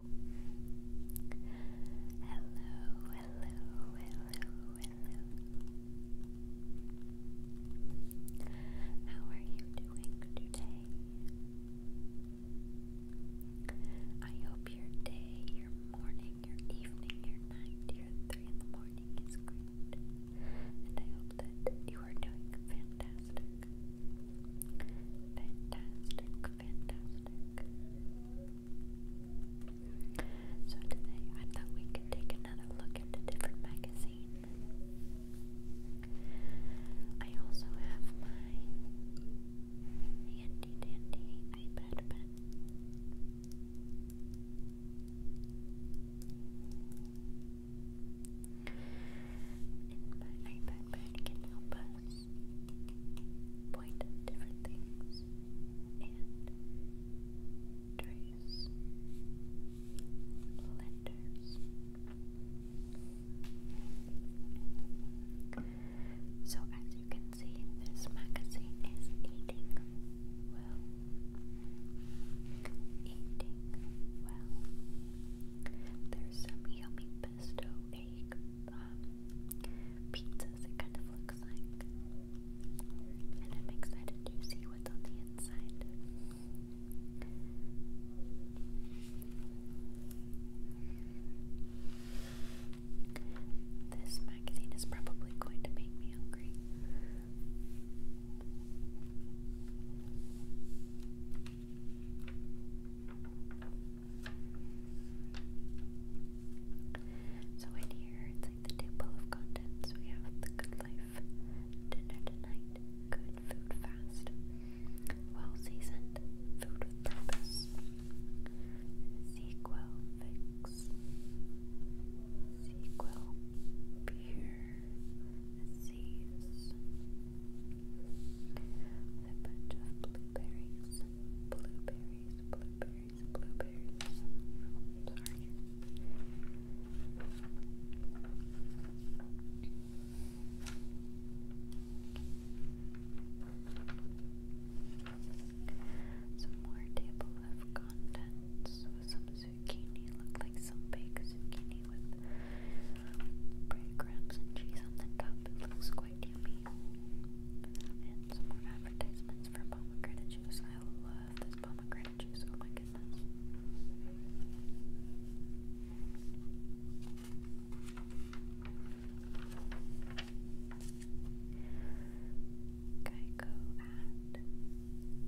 Hello, hello, hello, hello. How are you doing today? I hope your day, your morning, your evening, your night, your three in the morning is great. And I hope that you are doing fantastic. Fantastic. Fantastic. So today I thought we could take another look at a different magazine. I also have my handy dandy iPad pen. my iPad can help us point different things and trace letters. So, as you can see, this magazine is eating well. Eating well. There's some yummy pesto egg um, it kind of looks like. And I'm excited to see what's on the inside. This magazine is probably going to make me hungry. So in here, it's like the table of contents. We have the good life, dinner tonight, good food fast, well seasoned, food with purpose, sequel fix, sequel beer, seas, with a bunch of blueberries, blueberries, blueberries, blueberries. Sorry. Some more table of contents some zucchini. Looked like some baked zucchini with bread crumbs and cheese on the top. It looks quite yummy. And some more advertisements for pomegranate juice. I love this pomegranate juice. Oh my goodness.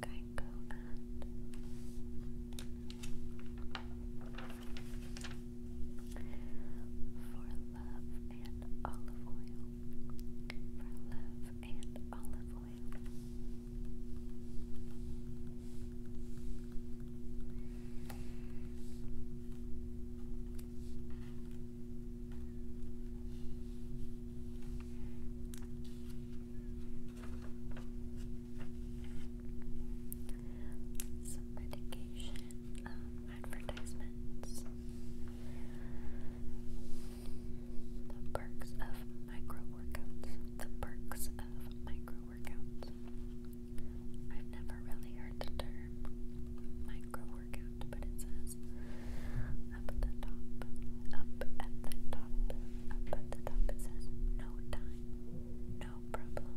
Geico ad. Geico ad. For love and olive oil. For love and olive oil some medication um, advertisements. The perks of micro workouts. The perks of micro workouts. I've never really heard the term micro workout, but it says up at the top, up at the top, up at the top. It says no time, no problem.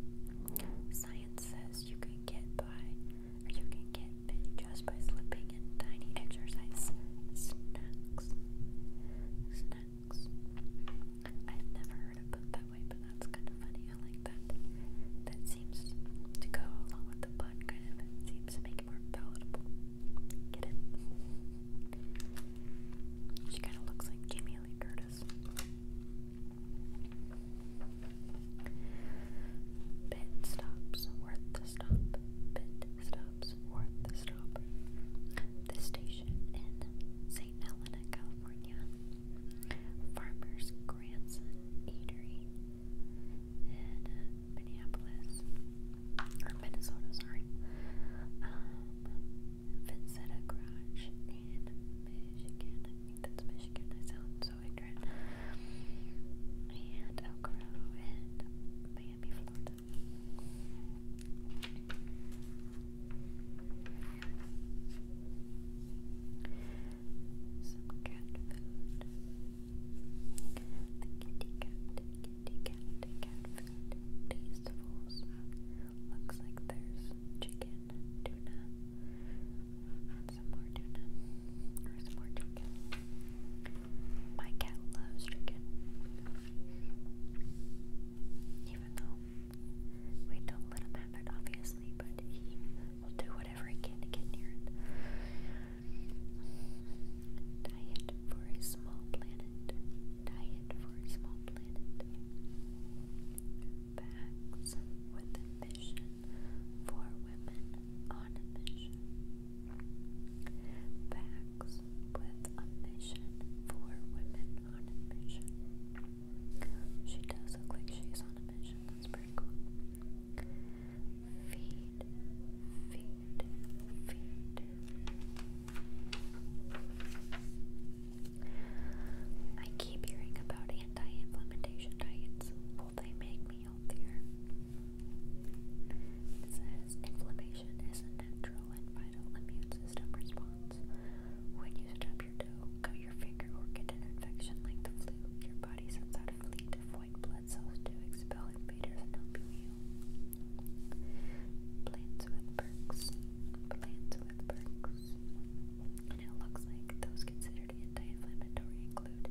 Science says you can get by, or you can get just by slipping in tiny exercise I've never heard it put that way, but that's kind of funny. I like that. That seems to go along with the bun, kind of. It seems to make it more palatable. Get it? She kind of looks like Jamie Lee Curtis. Pit stops worth the stop. Pit stops worth the stop. The station in St. Helena, California. Farmer's Grandson Eatery in Minneapolis. Or Minnesota, sorry. Um, Vincetta Garage in Michigan. I think that's Michigan. I sound so ignorant. And El Corrado in Miami, Florida. Some cat food. The cat, kitty cat, cat food. Looks like there's chicken tuna, and some more tuna, or some more chicken. My cat loves chicken, even though we don't let him have it, obviously, but he will do whatever he can to get near it. Diet for a small planet. Diet for a small planet bags with ambition for women on a mission. Bags with ambition for women on a mission. She does look like she's on a mission. That's pretty cool. Feed, feed, feed. I keep hearing about anti-inflammation diets. Will they make me healthier? It says inflammation is a natural and vital immune system response. When you stub your toe, cut your finger, or get an infection like the flu, your body sends out white blood cells to expel invaders and help you heal. Plants with perks. Plants with perks it looks like those considered anti-inflammatory include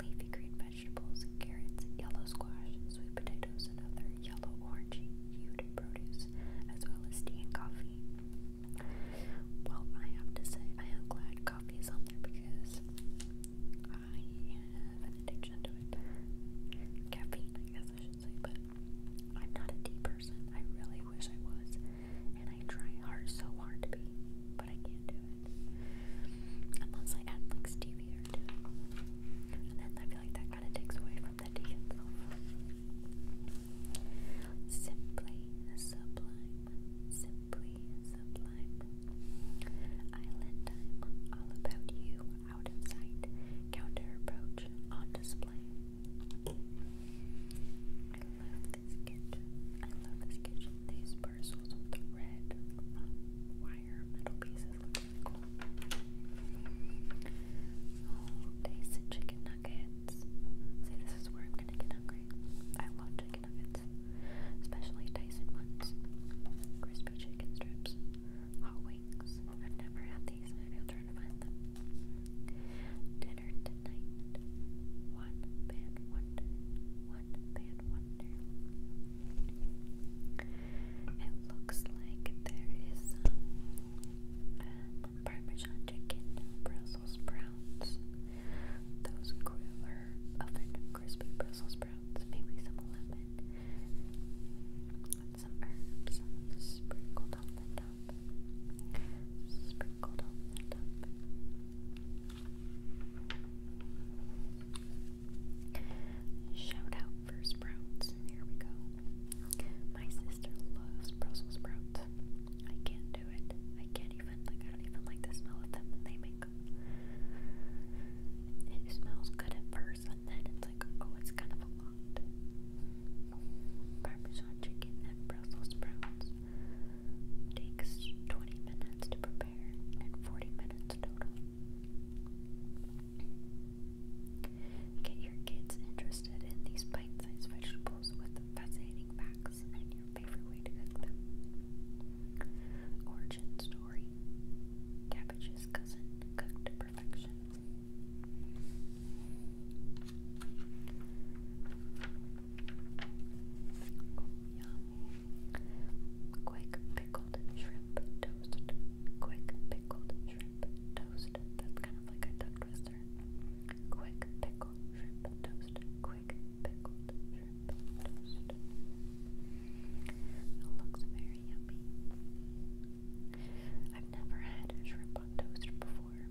leafy green vegetables, carrots, yellow squash, sweet potatoes, and other yellow-orange-hued produce, as well as tea and coffee. Well, I have to say, I am glad coffee is on there because I have an addiction to it. Caffeine, I guess but I'm not a tea person. I really wish I was. And I try hard so hard to be, but I can't do it. Unless I add like stevia or And then I feel like that kind of takes away from the tea Simply sublime. Simply sublime. Island time. All about you. Out of sight. Counter approach. On display. I love this kitchen. I love this kitchen. These parcels with the red wire metal pieces look chicken nuggets. See, this is where I'm gonna get hungry. I love chicken nuggets, especially Tyson ones. Crispy chicken strips, hot wings. I've never had these, maybe I'll try to find them. Dinner tonight. One bad wonder. One It looks like there is um, Parmesan chicken, Brussels sprouts. Those griller oven crispy Brussels sprouts. Maybe some lemon. With some herbs sprinkled on the top. Sprinkled Shout out for sprouts. Here we go. My sister loves Brussels sprouts. I can't do it. I can't even, like, I don't even like the smell of them they make It smells good at first, and then it's like, oh, it's kind of have a Parmesan chicken and Brussels sprouts takes 20 minutes to prepare and 40 minutes total. Get your kids interested in these bite-sized vegetables with fascinating facts and your favorite way to cook them. Origin story. Cabbage's cousin cooked to perfection yum. Quick pickled shrimp toast. Quick pickled shrimp toast. That's kind of like a duck twister. Quick pickled shrimp toast. Quick pickled shrimp toast. It looks very yummy. I've never had shrimp on toast before,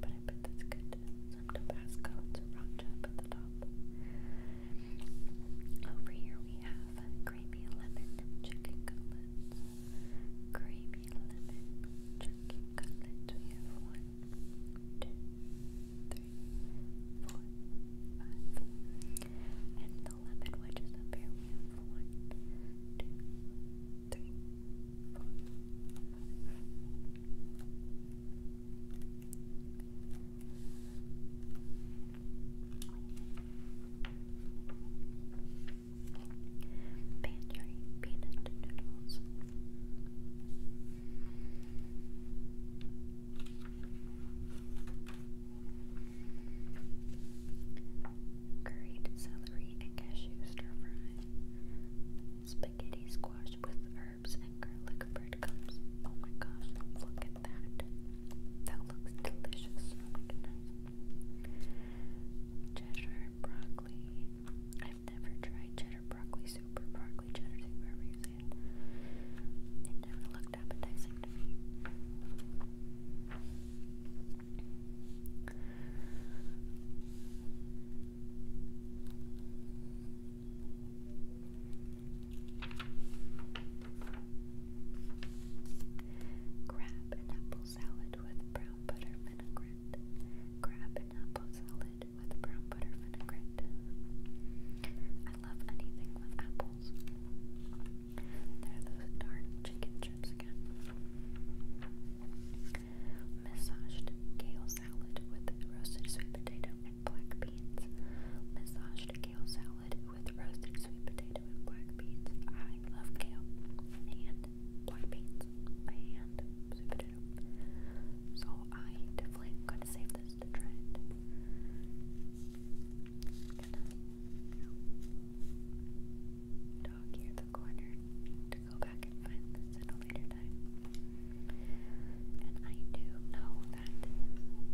but I bet that's good. Some Tabasco and sriracha up at the top. Over here we have creamy lemon chicken cutlets. Creamy lemon chicken cutlets. We have one, two, three, four, five. And eleven, which is up here. We peanut noodles. Curried celery and cashew stir fry. Spaghetti squash with herbs and garlic bread crumbs. Oh my gosh, look at that. That looks delicious. Oh my goodness. Cheddar broccoli. I've never tried cheddar broccoli soup broccoli cheddar soup, you say it. It never looked appetizing to me. Crab and apple salad with brown butter vinaigrette. Crab and apple salad with brown butter vinaigrette. I love anything with apples. There are those darn chicken chips again. Massaged kale salad with roasted sweet potato and black beans. Massaged kale salad with roasted sweet potato and black beans. I love kale and black beans and sweet potato. So I definitely am going to save this to try it. Dog here the corner to go back and find this at a later time. And I do know that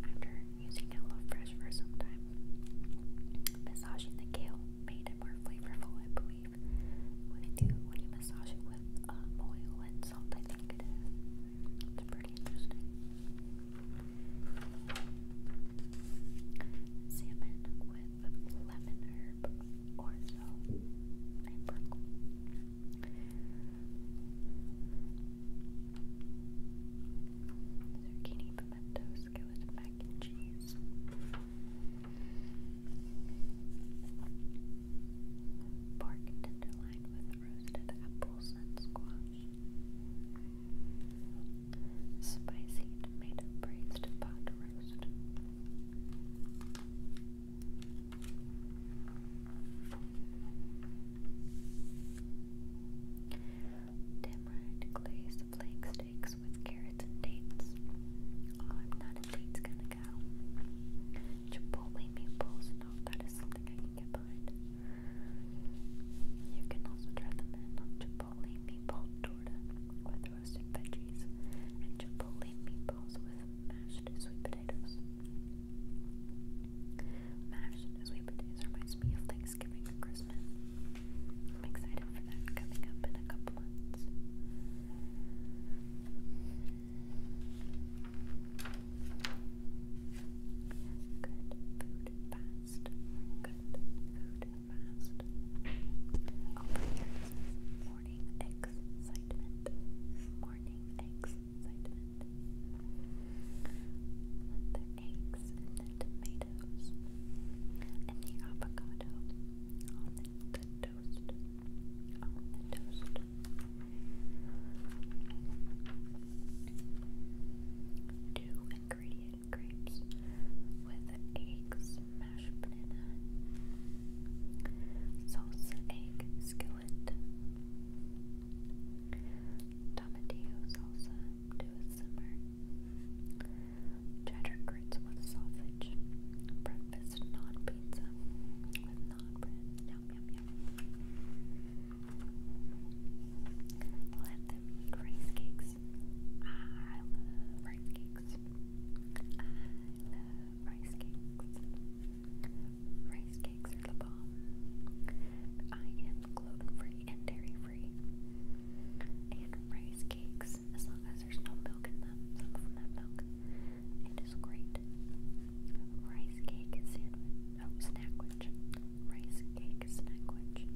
after using HelloFresh for some time, massaging the kale made it more flavorful, I believe. When you do, when you massage it with um, oil and salt, I think it is. It's pretty interesting. Salmon with lemon herb or and broccoli. Zucchini pimento skillet mac and cheese. Pork tenderloin with roasted apples and squash. Spicy tomato braised pot roast. Tamarind glazed flake steaks with carrots and dates. Oh, I'm not a dates kind of gal. Chipotle meatballs, no, that is something I can get behind. You can also try them in Chipotle chipotle roasted veggies and chipotle meatballs with mashed sweet potatoes. Mashed sweet potatoes reminds me of Thanksgiving and Christmas. I'm excited for that coming up in a couple months. Good food fast. Good food fast. Over here morning excitement. excitement. The eggs and the tomatoes and the avocado On the toast. Two ingredients and grapes with eggs, mashed banana, salsa egg skillet, tomatillo salsa to a simmer, cheddar grits with sausage, breakfast non pizza with non bread, yum yum yum. Let them eat rice cakes cakes. I love rice cakes. I love rice cakes. Rice cakes are the bomb. I am gluten free and dairy free. And rice cakes, as long as there's no milk in them, some of them milk, it is great. Rice cake sandwich, oh, snackwich. Rice cake snackwich.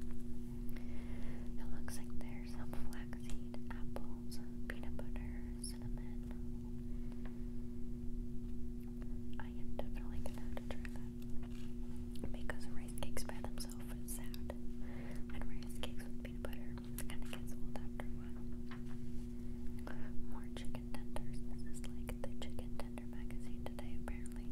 It looks like there's some flaxseed, apples, peanut butter, cinnamon. I am definitely gonna try that. Because rice cakes by themselves sad. And rice cakes with peanut butter kinda gets old after a while. More chicken tenders. This is like the chicken tender magazine today apparently.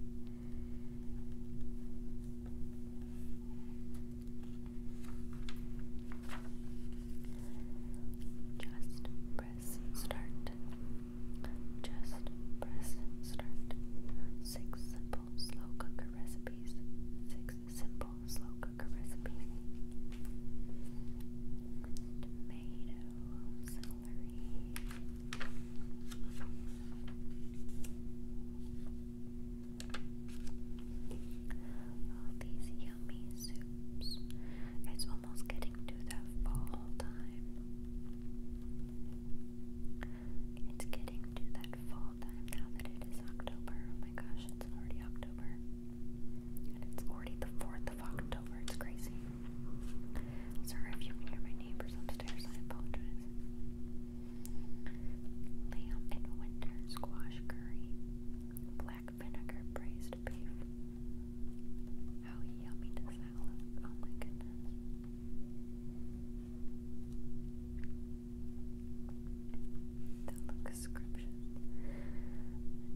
Just press start. Just press start. Six simple slow cooker recipes. Six simple slow cooker recipes. Tomato, celery, all these yummy soups. It's almost getting to that fall time. It's getting to that fall time now that it is October. Oh my gosh, it's already October. And it's already the 4th of October. It's crazy. Sorry if you hear my neighbors upstairs. I apologize. Lamb and winter squash curry. Black vinegar braised beef. How yummy does that look? Oh my goodness. That looks scrumptious.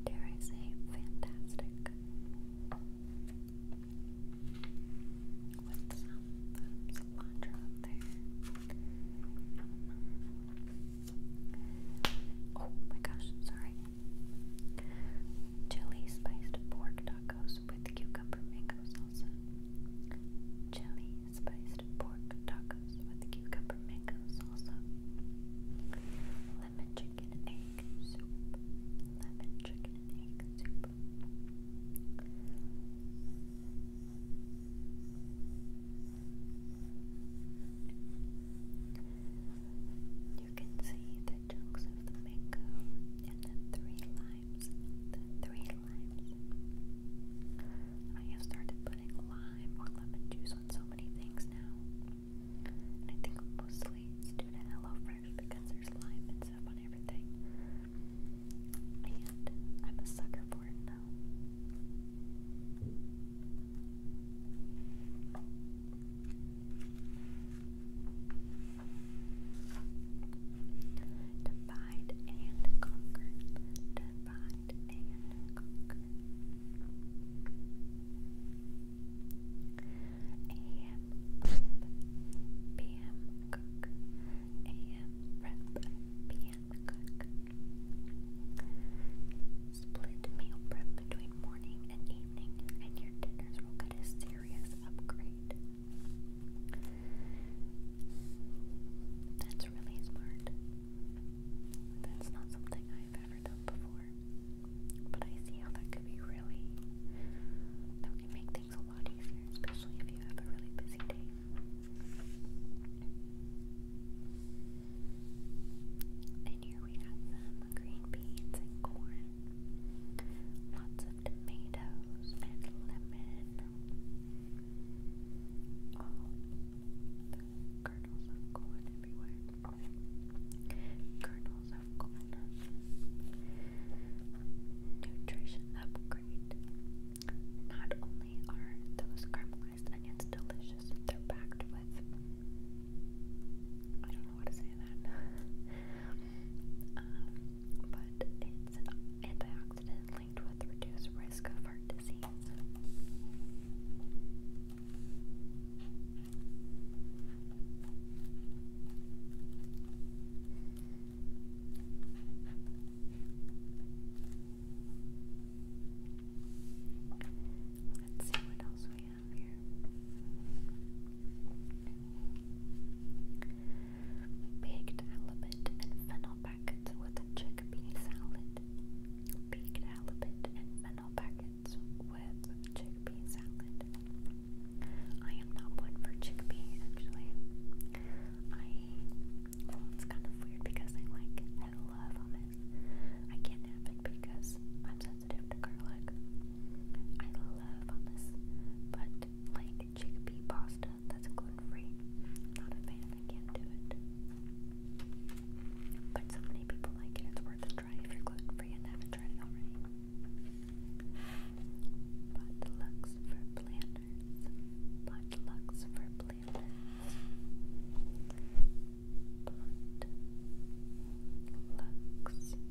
Dare I say fantastic with some Oh my gosh, sorry. Chili spiced pork tacos with cucumber mango salsa. Chili spiced pork tacos with cucumber mango salsa. Lemon chicken and egg soup. Lemon chicken and egg soup up. You can see the chunks of the mango and the three limes. The three limes. I have started putting lime or lemon juice on so many things now. And I think mostly it's due to HelloFresh because there's lime and stuff on everything. And I'm a sucker for it now. Divide and conquer. Divide and conquer. AM prep, PM cook, AM prep, PM cook. Split meal prep between morning and evening, and your dinners will get a serious upgrade. That's really smart. That's not something I've ever done before. But I see how that could be really. That can make things a lot easier, especially if you have a really busy day. And here we have some green beans and corn, lots of tomatoes and lemon, all the kernels of corn everywhere, kernels levels of Nutrition upgrade. Not only are those caramelized onions delicious, they're packed with. I don't know how to say that. Um, but it's an linked with reduced risk of heart disease. Let's see what else we have here. Baked halibut and fennel packets with a chickpea salad. Baked halibut and fennel packets with chickpea chickpea salad. I am not one for chickpea actually. it's kind of weird because I like I love hummus. I can't have it because I'm sensitive to garlic. I love hummus, but like chickpea pasta that's gluten free. not a fan. I can't do it. But so many people like it. It's worth a try if you're gluten free and haven't tried it already. Potlucks for planners. Potlucks for planners. Pot Lux for planners. Potlucks for planners. Number one, to start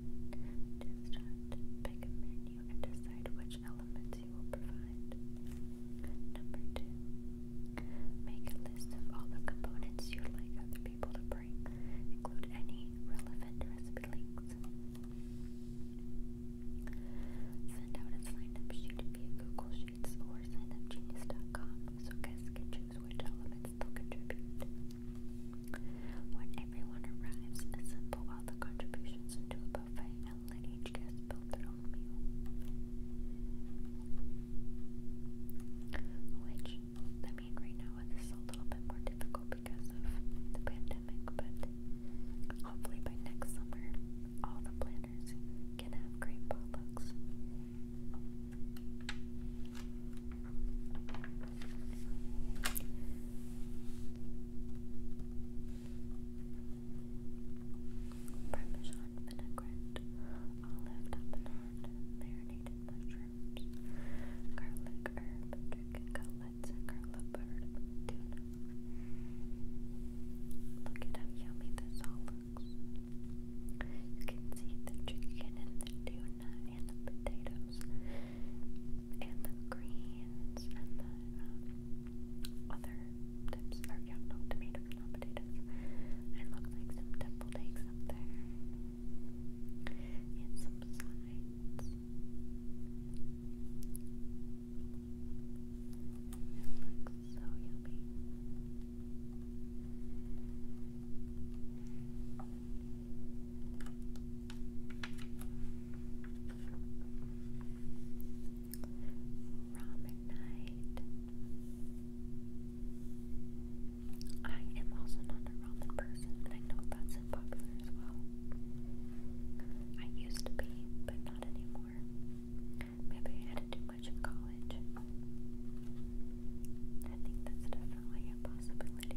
picnic menu and decide which elements you will provide. Number two, make a list of all the components you'd like other people to bring. Include any relevant recipe links. Send out a sign-up sheet via Google Sheets or signupgenius.com so guests can choose which elements they'll contribute. When everyone arrives, assemble all the contributions into a buffet and let each guest build their own meal. Which, I mean, right now it is a little bit more difficult because of the pandemic, but hopefully by next summer, all the planners can have great potlucks. Parmesan vinaigrette, olive tapenade, marinated mushrooms, garlic herb, chicken garlic herb, tuna. Look at how yummy this all looks. You can see the chicken and the tuna tuna and the potatoes and the greens and the um, other tips, or yeah, no, tomatoes, not potatoes. And look like some deviled eggs up there and some sides. It looks so yummy. Ramen night. I am also not a ramen person, and I know that's unpopular as well. I used to be, but not anymore. Maybe I had to much in college. I think that's definitely a possibility.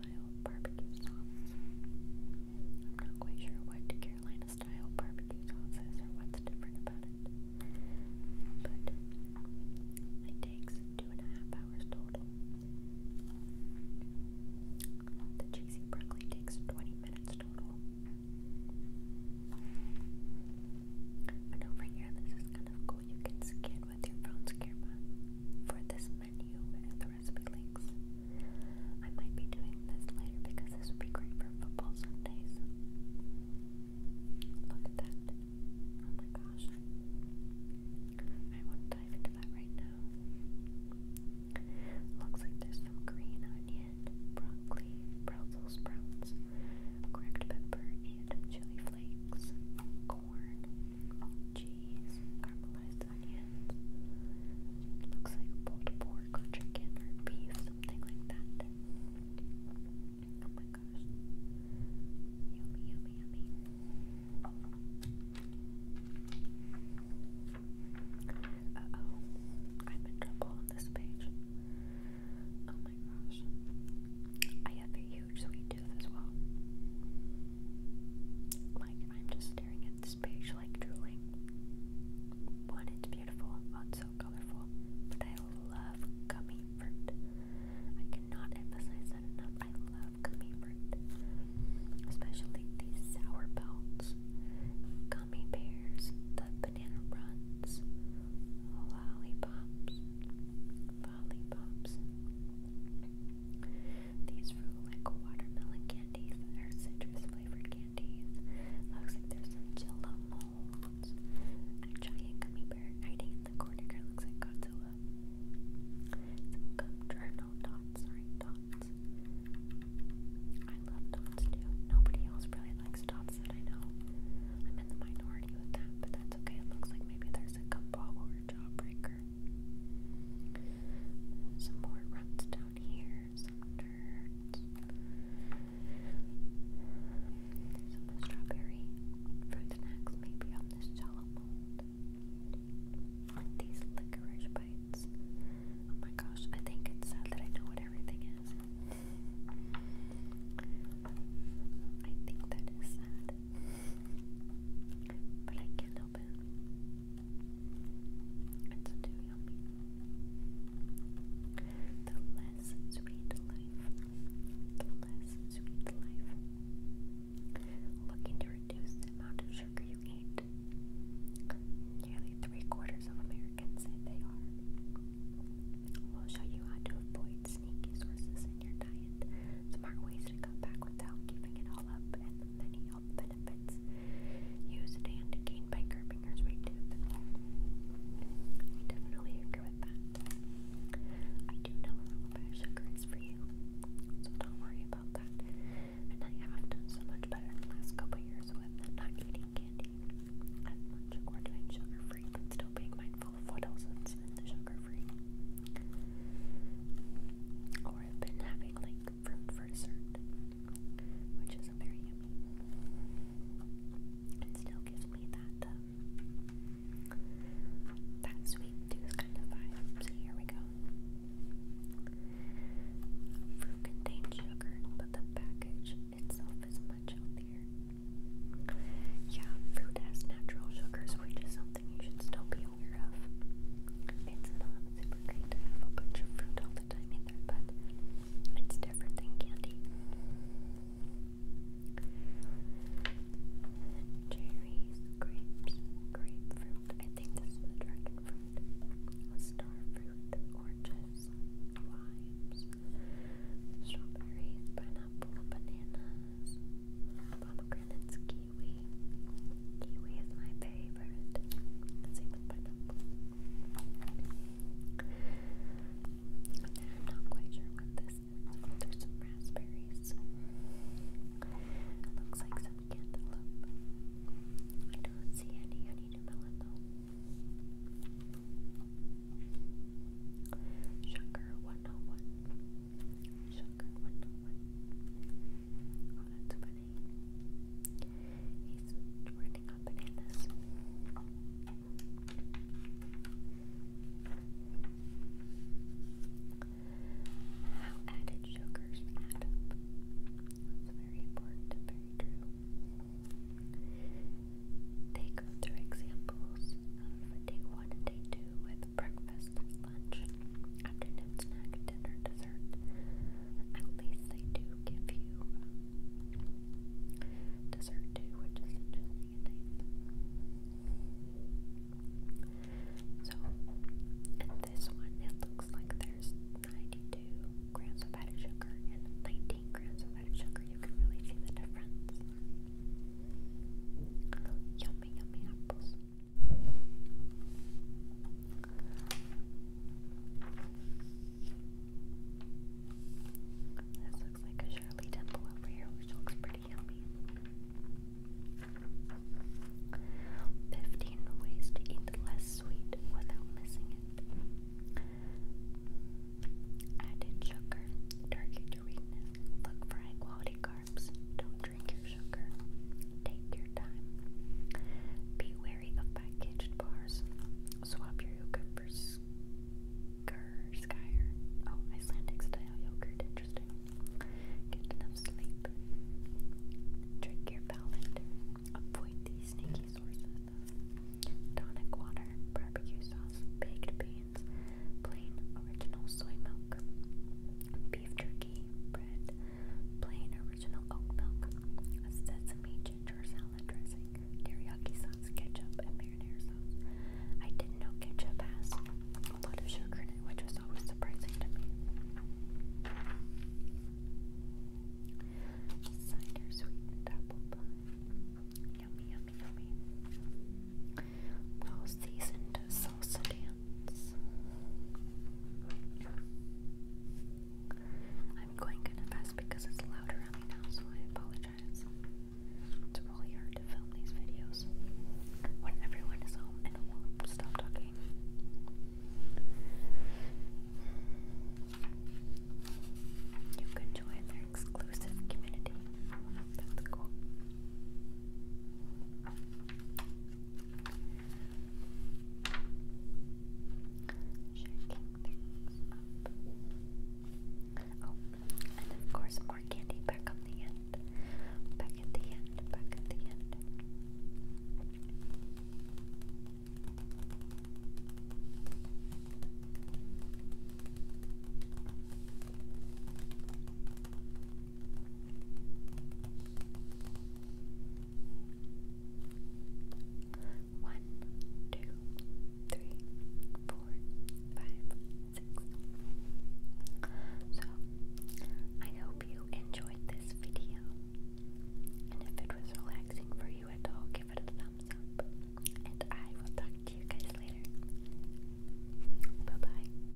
style barbecue sauce. I'm not quite sure what Carolina style barbecue sauce is or what's different about it. But it takes two and a half hours total. The cheesy broccoli takes 20 minutes total. And over here, this is kind of cool. You can scan with your phone's camera for this menu and the recipe links. I might be doing this later because this would be great for football Sundays. Look at that. Oh my gosh. I want to dive into that right now. Looks like there's some green onion, broccoli, Brussels sprouts, cracked pepper, and chili flakes, corn, cheese, caramelized onions, onions. looks like pulled pork chicken beef, something like that. Oh my gosh. Yummy, yummy, yummy. Uh oh. I'm in trouble on this page. Oh my gosh. I have a huge sweet tooth as well. Like, I'm just staring at page like drooling. One, it's beautiful, one, so colorful, but I love gummy fruit. I cannot emphasize that enough. I love gummy fruit, especially these sour belts, gummy bears, the banana runs, lollipops, lollipops. These fruit like watermelon candies or citrus flavored candies. Looks like there's some jello molds. A giant gummy bear hiding in the corner looks like Godzilla. Some gum or no dots, sorry, dots. I love dots too. Nobody else really likes dots that I know. I'm in the minority with that, but that's okay. It looks like maybe there's a couple or a jawbreaker. Some more ruts down here, some dirt, some strawberry fruit snacks maybe on this shallow mold. these licorice bites. Oh my gosh, I think it's sad that I know what everything is. I think that is sad. But I can little The less sweet life. The less sweet life. Looking to reduce the amount of sugar you eat. Nearly three quarters of Americans say they are. We'll show you how to avoid sneaky sources in your diet, smart ways to cut back without giving it all up, and many health benefits used and gained by curbing her sweet tooth. definitely agree with that. I do know a little bit sugar is for you, so don't worry about that. And I have done so much better the last couple years with not eating candy as much doing sugar free, but still being mindful of what else is in the sugar free. Or I've been having like fruit for dessert, which isn't very yummy. It still gives me that um, that sweet tooth kind of vibe. So here we go. Fruit contains sugar, but the package itself is much healthier. Yeah, fruit has natural sugars, which is something you should still be aware of. It's not super great to have a bunch of fruit all the time either, but it's different than candy. Cherries, grapes, grapefruit, I think this is the dragon fruit, star fruit, oranges, limes, strawberries, pineapple, bananas, pomegranates, kiwi kiwi. Kiwi is my favorite. not quite sure what this is. Oh, there's some raspberries. looks like some cantaloupe. I don't see any honeydew melon though. Sugar 101. Shocker, what Oh, that's funny. He's running on bananas. How added sugars add up. That's very important very true. They go through examples of day one and day two, with breakfast, lunch, afternoon snack, dinner, dessert. At least they do give you um, dessert too, which is interesting So, and this one, it looks like there's 92 grams of added sugar and 19 grams of added sugar. You can really see the difference. Yummy, yummy apples. This looks like a Shirley Temple over here, which looks pretty yummy. 15 ways to eat less sweet without missing it. Added sugar, turkey to weakness. Look for high carbs drink your sugar. Take your time. Be wary of packaged bars. Swap your yogurt for skir, skir. Oh, Icelandic style yogurt. Interesting. Get enough sleep. Drink your palate. Avoid these sneaky sources tonic water, barbecue sauce, baked beans, plain original soy milk beef jerky, bread, plain original oat milk, a sesame ginger salad dressing, teriyaki sauce, ketchup, and marinara I didn't know ketchup has a lot of sugar in it, which was always surprising to me. Cider sweetened apple pie. Yummy, yummy, yummy. Well seasoned salsa hands. I'm going kind of because it's loud around me now, so I apologize. It's really hard to film these videos when everyone is home and won't stop talking. You could their exclusive community. That's cool. Shaking things oh, of course more candy back on the end. Back at the end, back at the end. One, two, three, four, five, six. So, I hope you enjoyed this video. And if it was relaxing for you at all, give it a thumbs up. And I will talk to you guys later. Bye bye.